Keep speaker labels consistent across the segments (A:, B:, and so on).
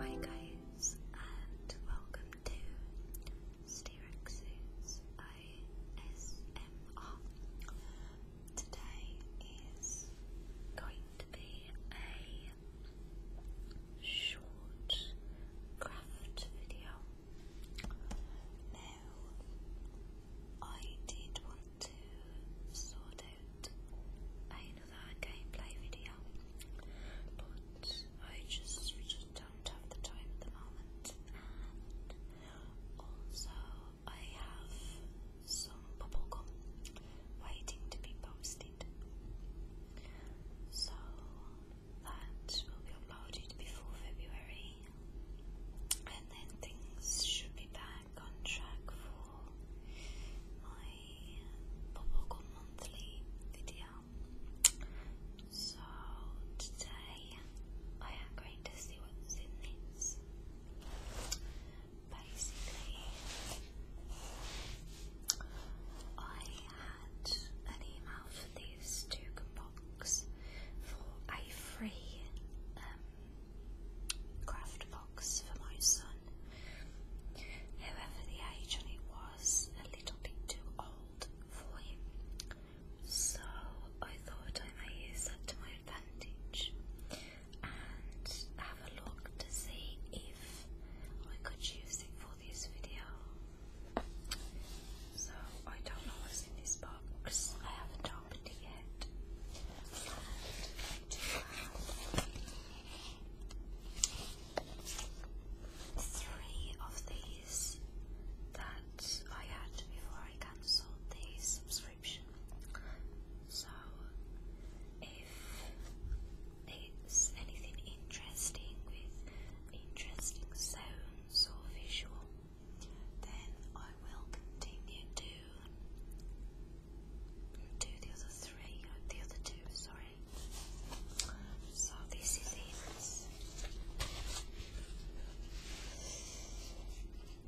A: Hi guys and welcome to Sterex's ASMR. Today is going to be a short craft video. I did want to sort out another gameplay video, but I just don't have the time at the moment, and also I have some bubblegum waiting to be posted, so that will be uploaded before February and then things should be back on track for my Boboko monthly video. So today I am going to see what's in this. Basically, I had an email for these two box for a free um, craft box for my son. However, the age was a little bit too old for him, so I thought I may use that to my advantage and have a look to see if I could use it for this video. So I don't know what's in this box. I have round to Three of these that I had before I cancelled the subscription. So, if it's anything interesting with interesting sounds or visual then I will continue to do the other three, the other two, sorry. So this is it.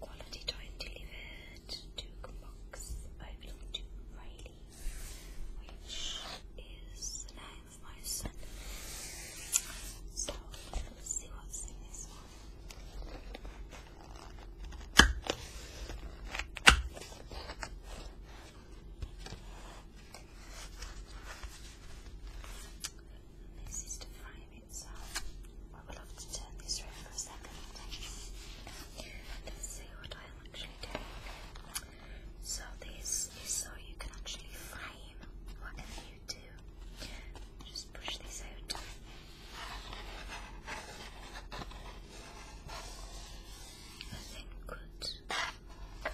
A: Quality time delivered to box overlooked to Riley, which is the my son. So let's see what's in this one. This is to frame it, so I will have to turn this around for a second. see what I'm actually doing. So this is so you can actually frame what in just push these out. I think good. Okay.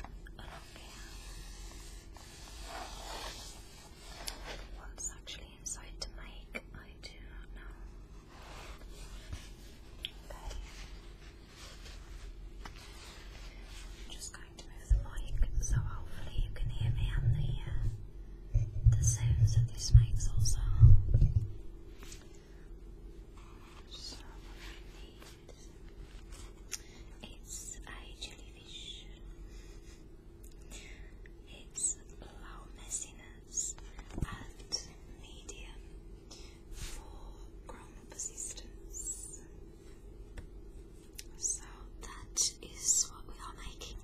A: What's actually inside to make? I do not know. am just going to move the mic so hopefully you can hear me on the uh, the sounds that this makes also. So what I a jellyfish. It's low messiness at medium for grown-up so that is what we are making.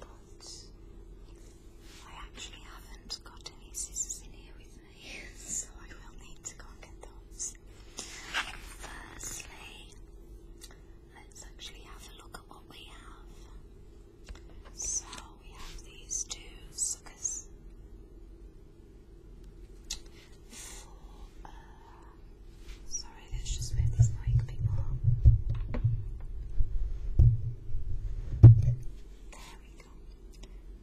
A: But I actually haven't got any scissors in here with me, so I will need to go get those. Firstly, let's actually have a look at what we have. So we have these two suckers sorry, let's just move this mic people There we go.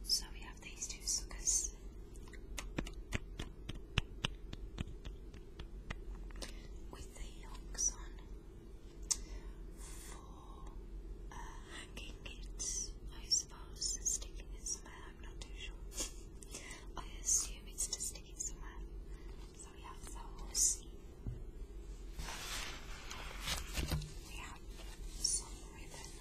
A: So we have these two suckers. With the yolks on for uh, hanging it, suppose, and sticking it somewhere. I'm not too sure. I assume it's to stick it somewhere. So we have those. We have some ribbon.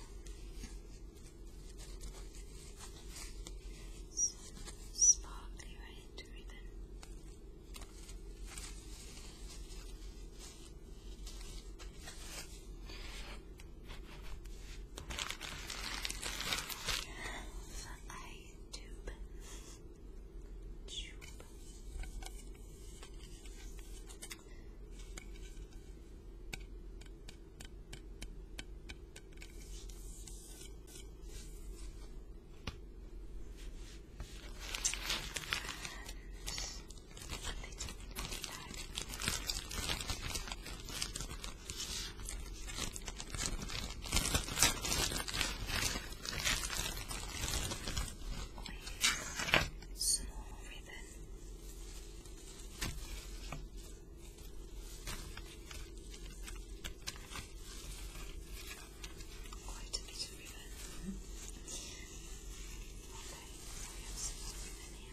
A: Some sparkly red ribbon. I tube. tube. And small ribbon. Quite a bit of ribbon. Hmm. Okay, we have some ribbon here.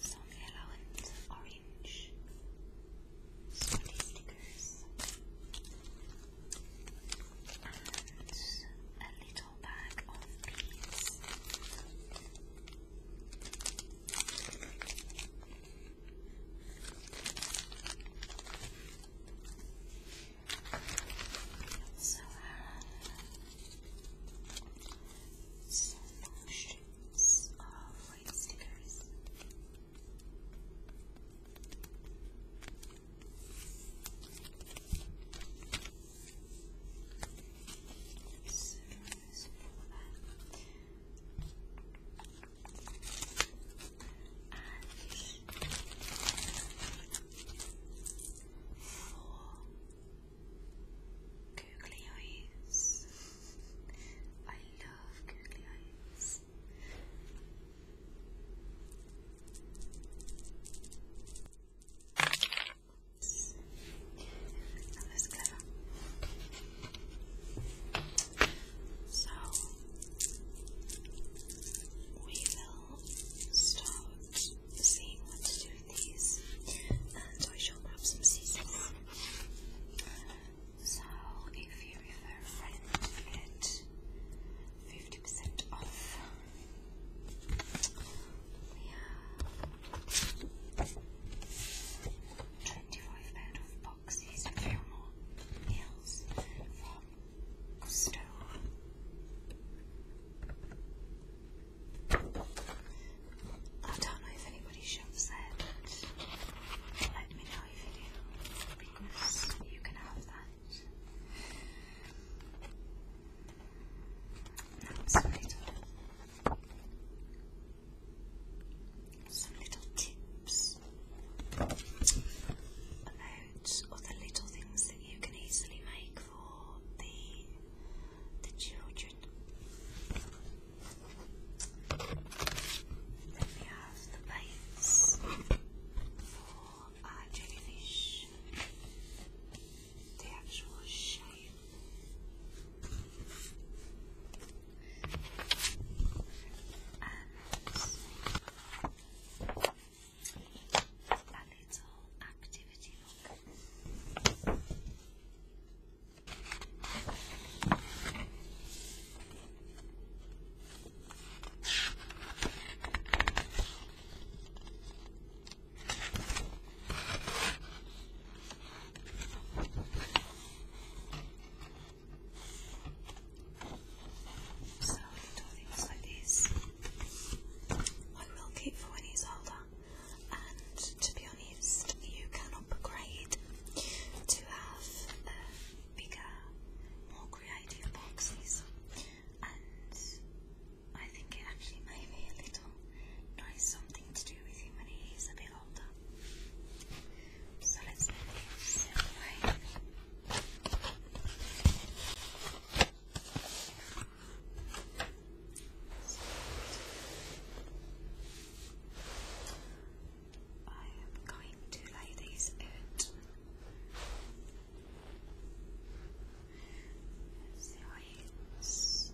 A: some yellow and orange Scotty stickers, and a little bag of beads. I so now stickers. So, so and four googly eyes. I love googly eyes. Oops. That was So we will start seeing what to do with these, and uh, I shall grab some seasoning. So, if you refer get 50% off. 25 out of boxes of Fillmore meals from Gusto. I don't know if anybody shoves that. Let me know if you do, because you can have that. Now little, some little tips about other little things that you can easily make for the the children. Then we have for jellyfish, the actual shape little activity book. So things like this I will keep for when he's older and to be honest, you can upgrade to have uh, bigger, more creative boxes, and I think it actually may be a little nice something to do with him when he's a bit older. So let's move this away. I am going to lay these out. see how it's.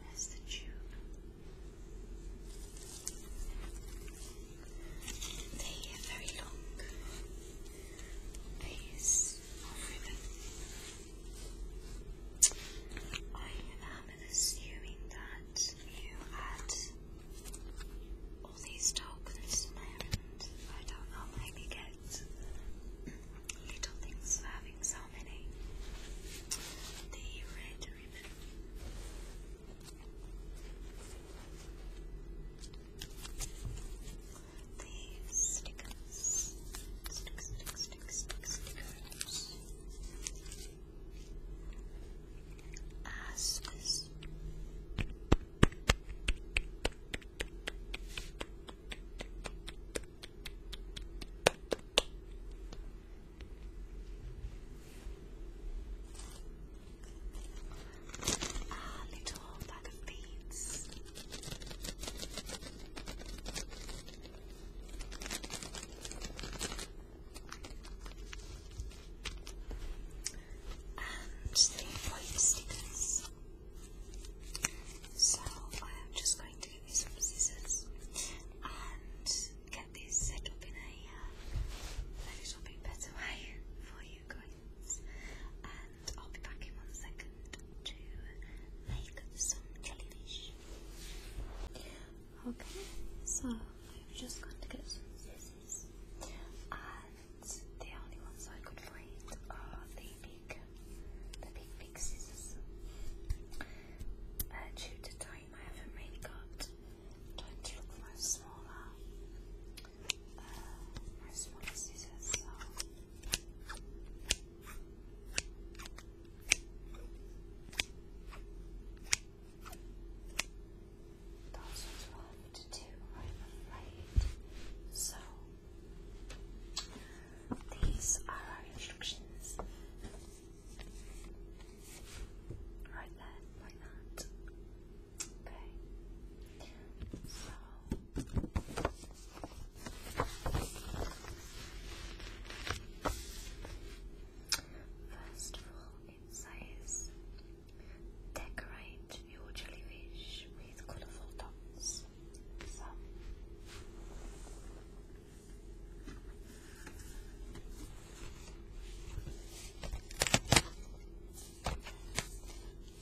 A: There's the tube. They are very long. These I am assuming that you had all these tokens and I don't know, maybe get little things having so many. The red ribbon the stickers. Stick, stick, stick, stickers. As this. A little bag of and the white stickers. So I'm just going to give me some scissors and get this set up in a uh, a better way for you guys and I'll be back in one second to make some jellyfish. Okay, so I've just got to get some scissors, and the only ones I could find are the big, the big big scissors. due uh, to time, I haven't really got time to look for smaller uh, where's will have to do, I'm afraid. So, these are our instructions. Right there, like that. Okay. So First of all, it says decorate your jellyfish with colourful dots. So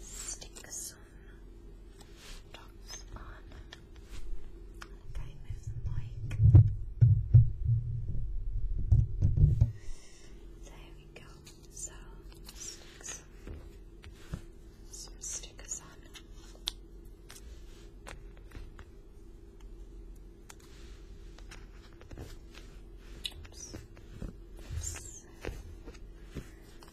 A: stick some dots on. Okay, move the mic. There we go. So stick some stickers on. Oops.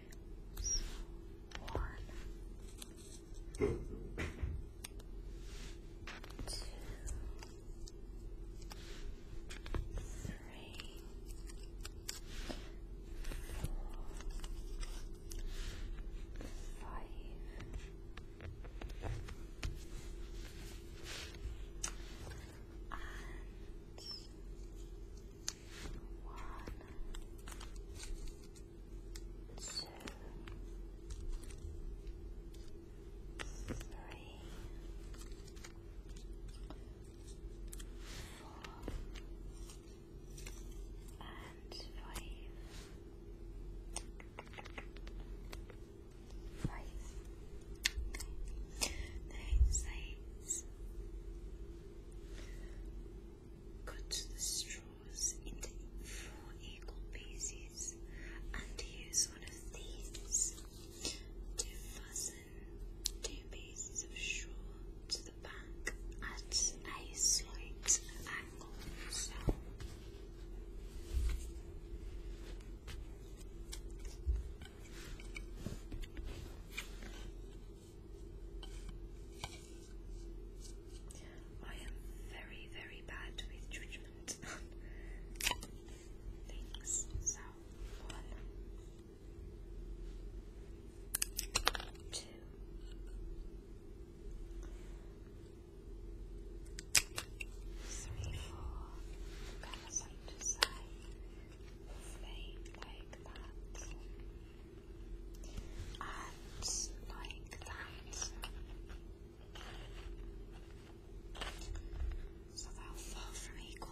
A: One, two, three, four, five, and one, two, three, four, and five. Cut the straws into four equal pieces and use one of these to fasten two pieces of straw to the back at a slight angle. I am very, very bad with judgment on things, so one, two. Three, to side thing like that and like that so they'll fall from equal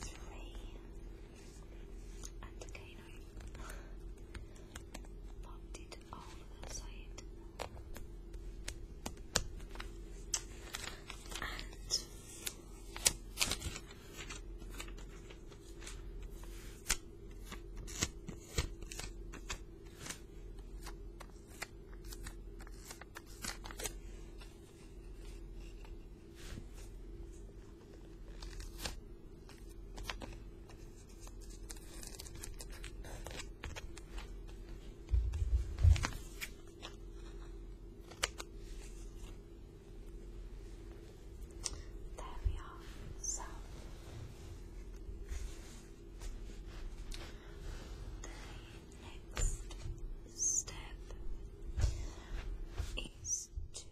A: Three. And a cano. Popped it all the side. And there we are. So the next step is to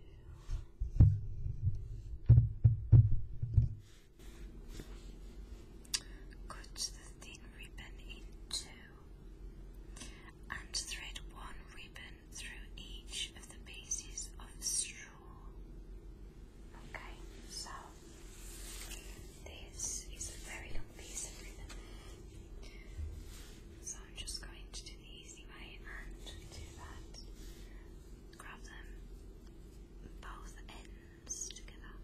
A: cut the thin ribbon in two and thread one ribbon through each of the pieces of straw. Okay, so this is a very long piece of ribbon. So I'm just going to do the easy way and do that. Grab them both ends together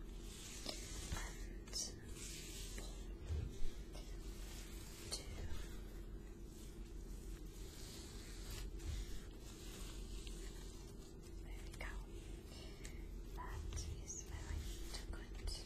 A: and two. There we go. That is very good.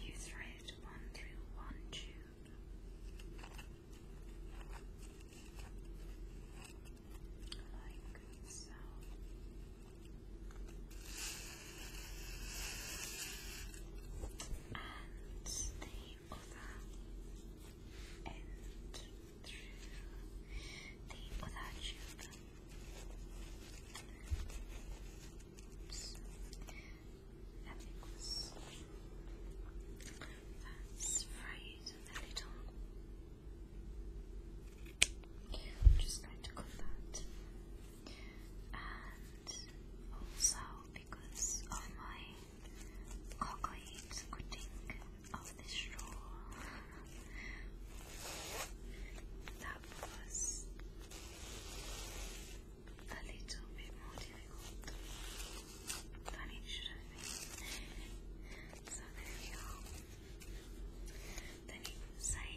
A: You thread one through one tube. Like so. And the other end through the other tube. Alex. let just going to cook that. And also because of my cockroach cutting of the straw, tapos a little bit more difficult than it should have been. So there we are. Then you say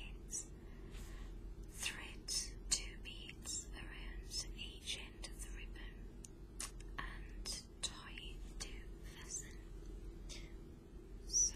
A: thread two beads around each end of the ribbon and tie it to fasten. So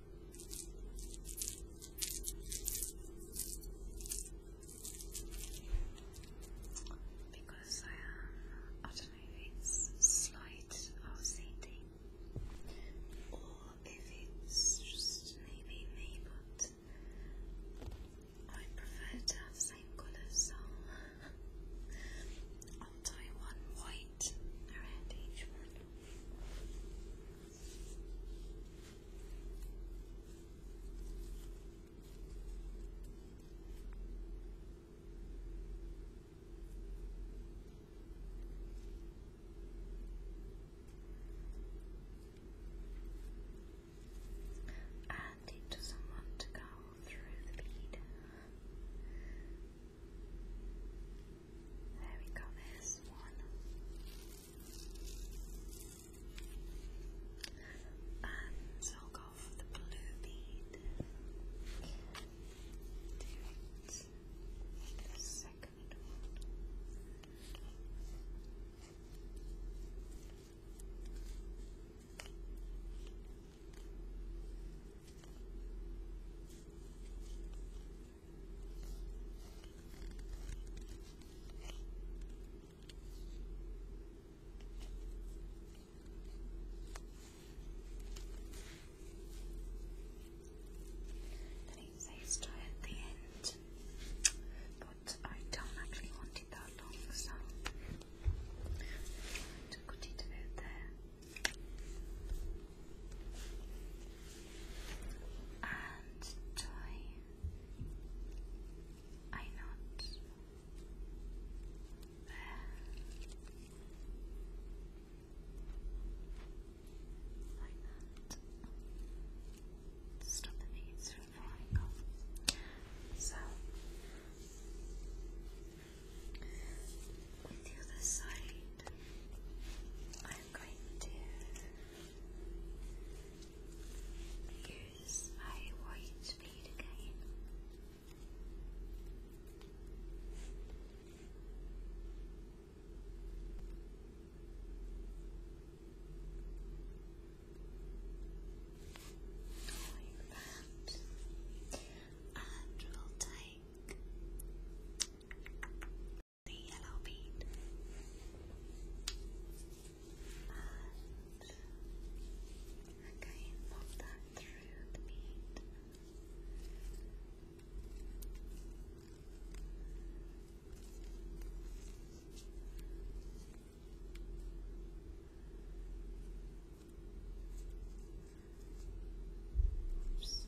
A: Because I I don't know if it's slight OCD or if it's just maybe me, but I prefer to have same colours, untie one white around each one. And it doesn't want to go through the bead. There we go, there's one. And i go for the blue bead. Do it. The second one. Then it says try at the end, but I don't actually want it that long, so I it out there and joy I not bear like that stop the beads from falling off so on the other side, I'm going to use my white bead again. And we'll take pink. The yellow bead. And pop that through the bead. Oops.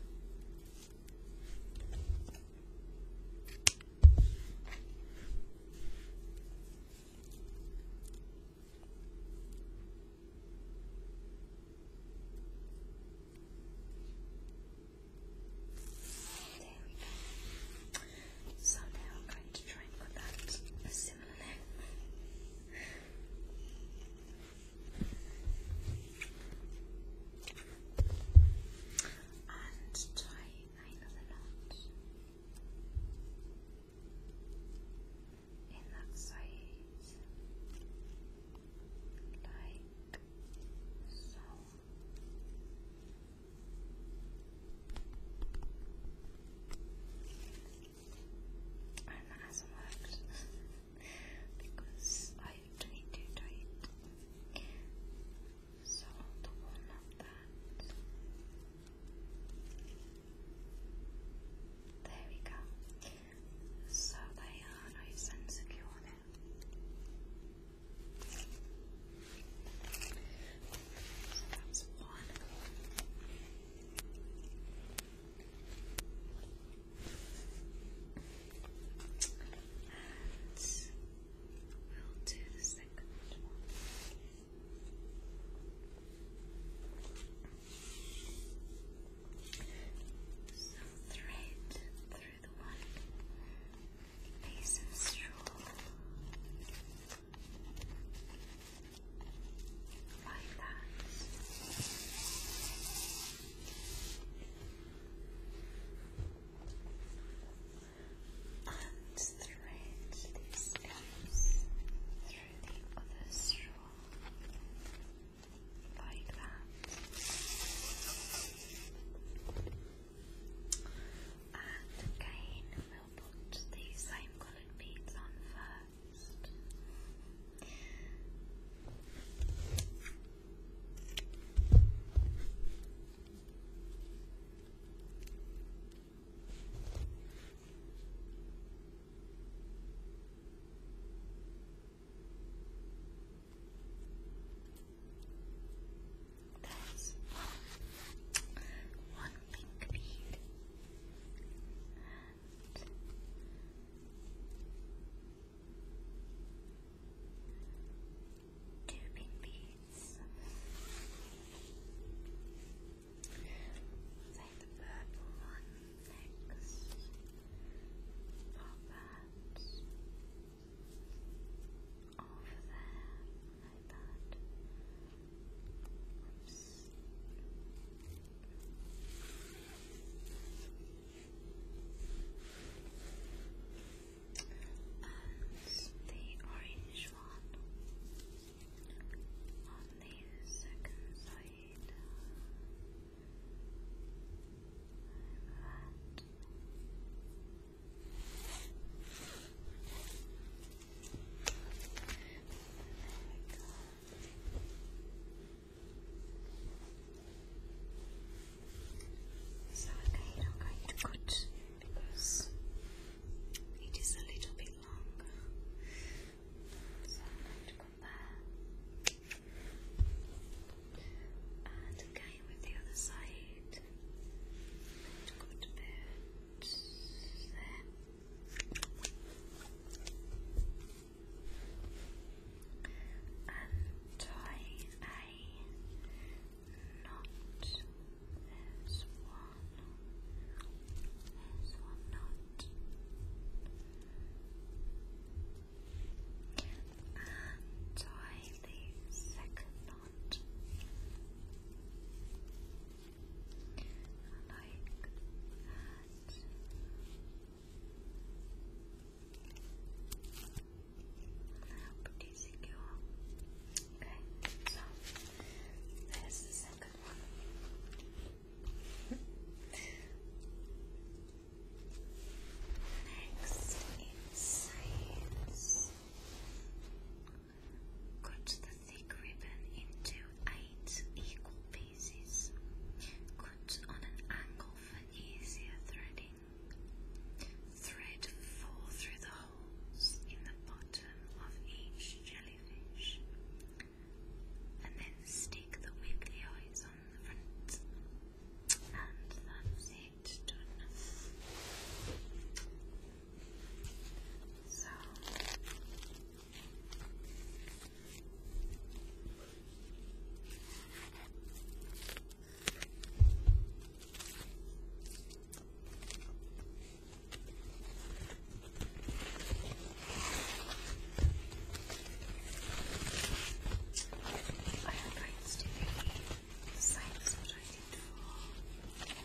A: There So now I'm going to try and put that similarly and tie another knot in that side like so and that hasn't worked because I tried to do it. So the one of that. There we go. So they are nice and secure now. So that's one. And we do the second one. So thread through the one piece of straw like that and thread these through the other straw like that and again we'll put the same coloured beads on first best. That's one pink bead two pink beads. Take the purple one next. Pop that over there like that. Oops. And the orange one on the second side. There we go. So again, I'm going to cut because it is a little bit longer. So I'm going to come back and again with the other side. I'm going to cut a there untie a knot. There's one. There's one knot. And tie the second knot. Like that. Pretty secure. Okay, so there's the second one. Next in Cut the thick ribbon into eight equal pieces pieces. Cut on an angle for easier threading. Thread four through the holes in the bottom of each jellyfish. And then stick the wiggly eyes on the front. And that's it, done. So, I advise to the signs what I did for the right.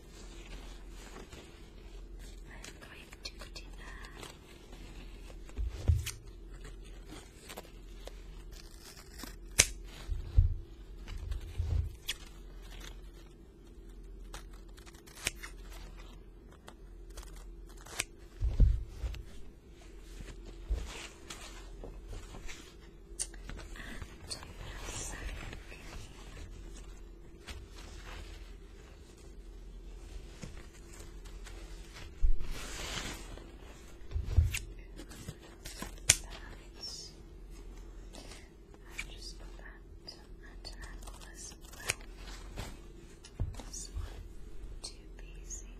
A: I'm going to put in and secondly, I just put that at an angle as well. This one, two pieces. There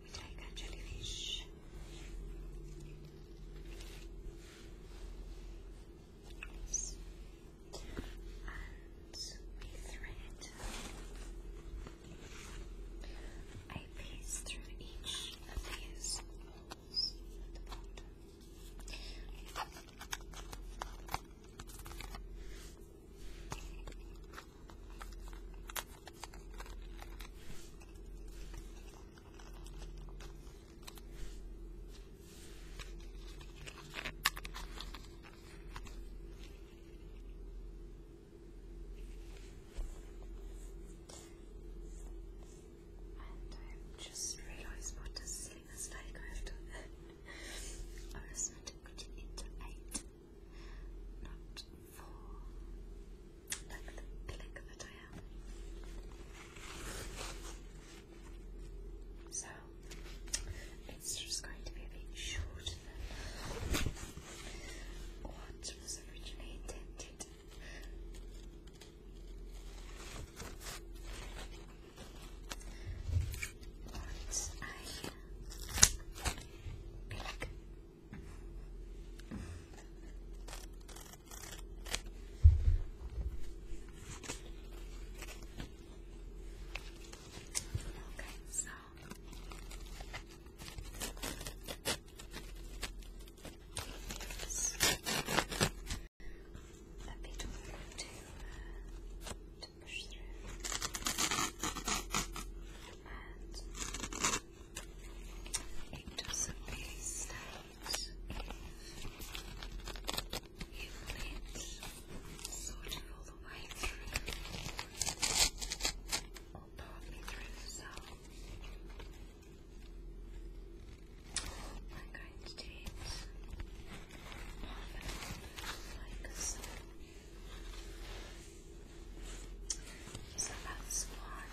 A: like a jellyfish. And with thread, I paste through each of these holes I just realized what the ceiling is like after that. I was meant to put not four. Look So it's just going to be a bit shorter than what was originally intended. Once I click Okay, so yes. Uh, a bit of room uh, to, to push through. It doesn't taste that you need all the way through or partly through, so I'm going to do it half and half, like one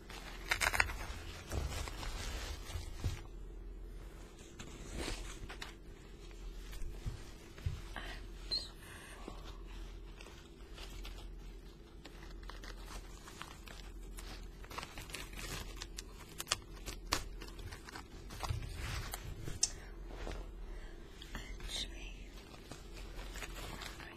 A: Actually, when I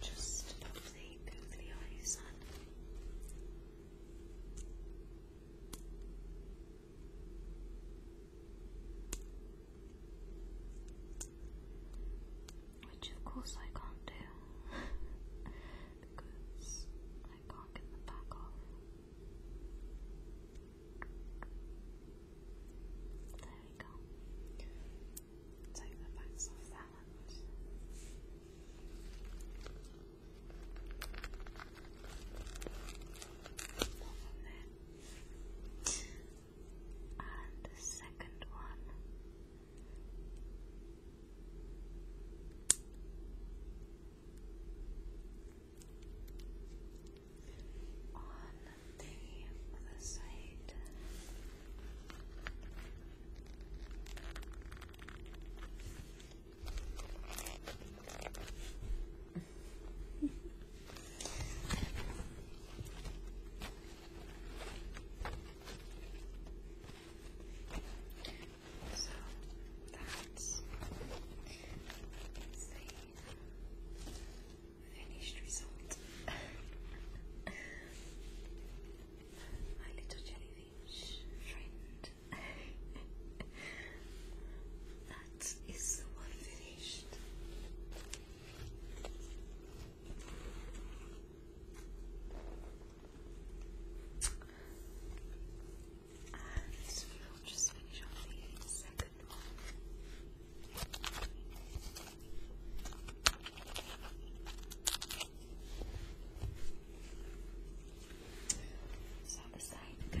A: Just lovely googly eyes Which of course I can't do because I can't get the back off. There we go. Take the backs off there balance. And the second one on the other side so that's the finished result. My little jellyfish. that is the one finished. And we'll just finish off the second one. So the side again.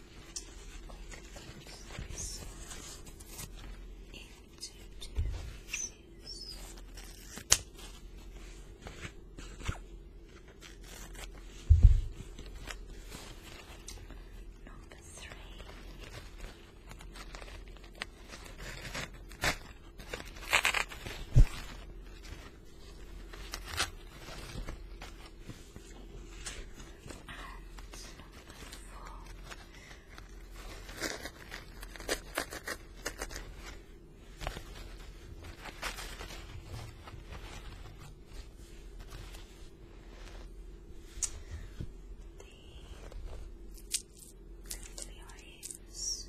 A: this one into pieces. Number three to the audience.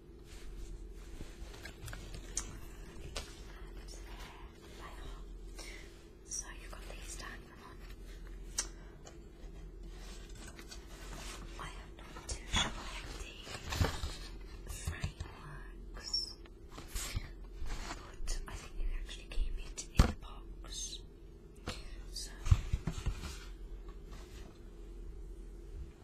A: Voilà, So you got these done I am not too sure of the frameworks, but I think you actually keep it in the box. So. There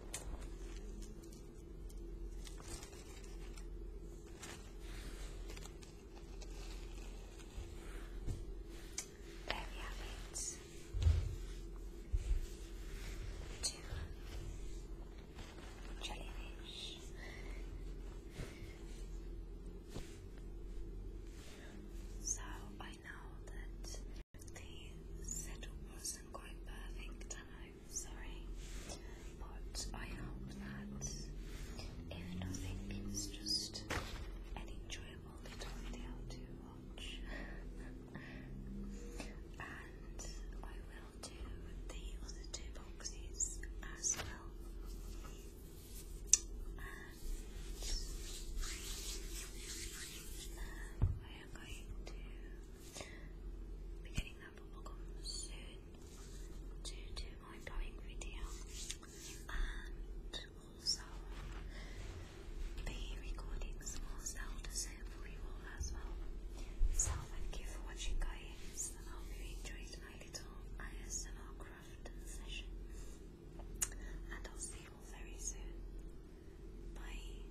A: we have it. Two jellyfish. So I know that the settle wasn't quite perfect, and I sorry. But I hope that if nothing, it's just an enjoyable little video to watch. and I will do the other two boxes as well. And now um, I am going to i that bubblegum soon to do my blowing video. And also be recording some more Zelda soon as well. So thank you for watching guys. I hope you enjoyed my little ISMR craft session. And I'll see you all very soon. Bye.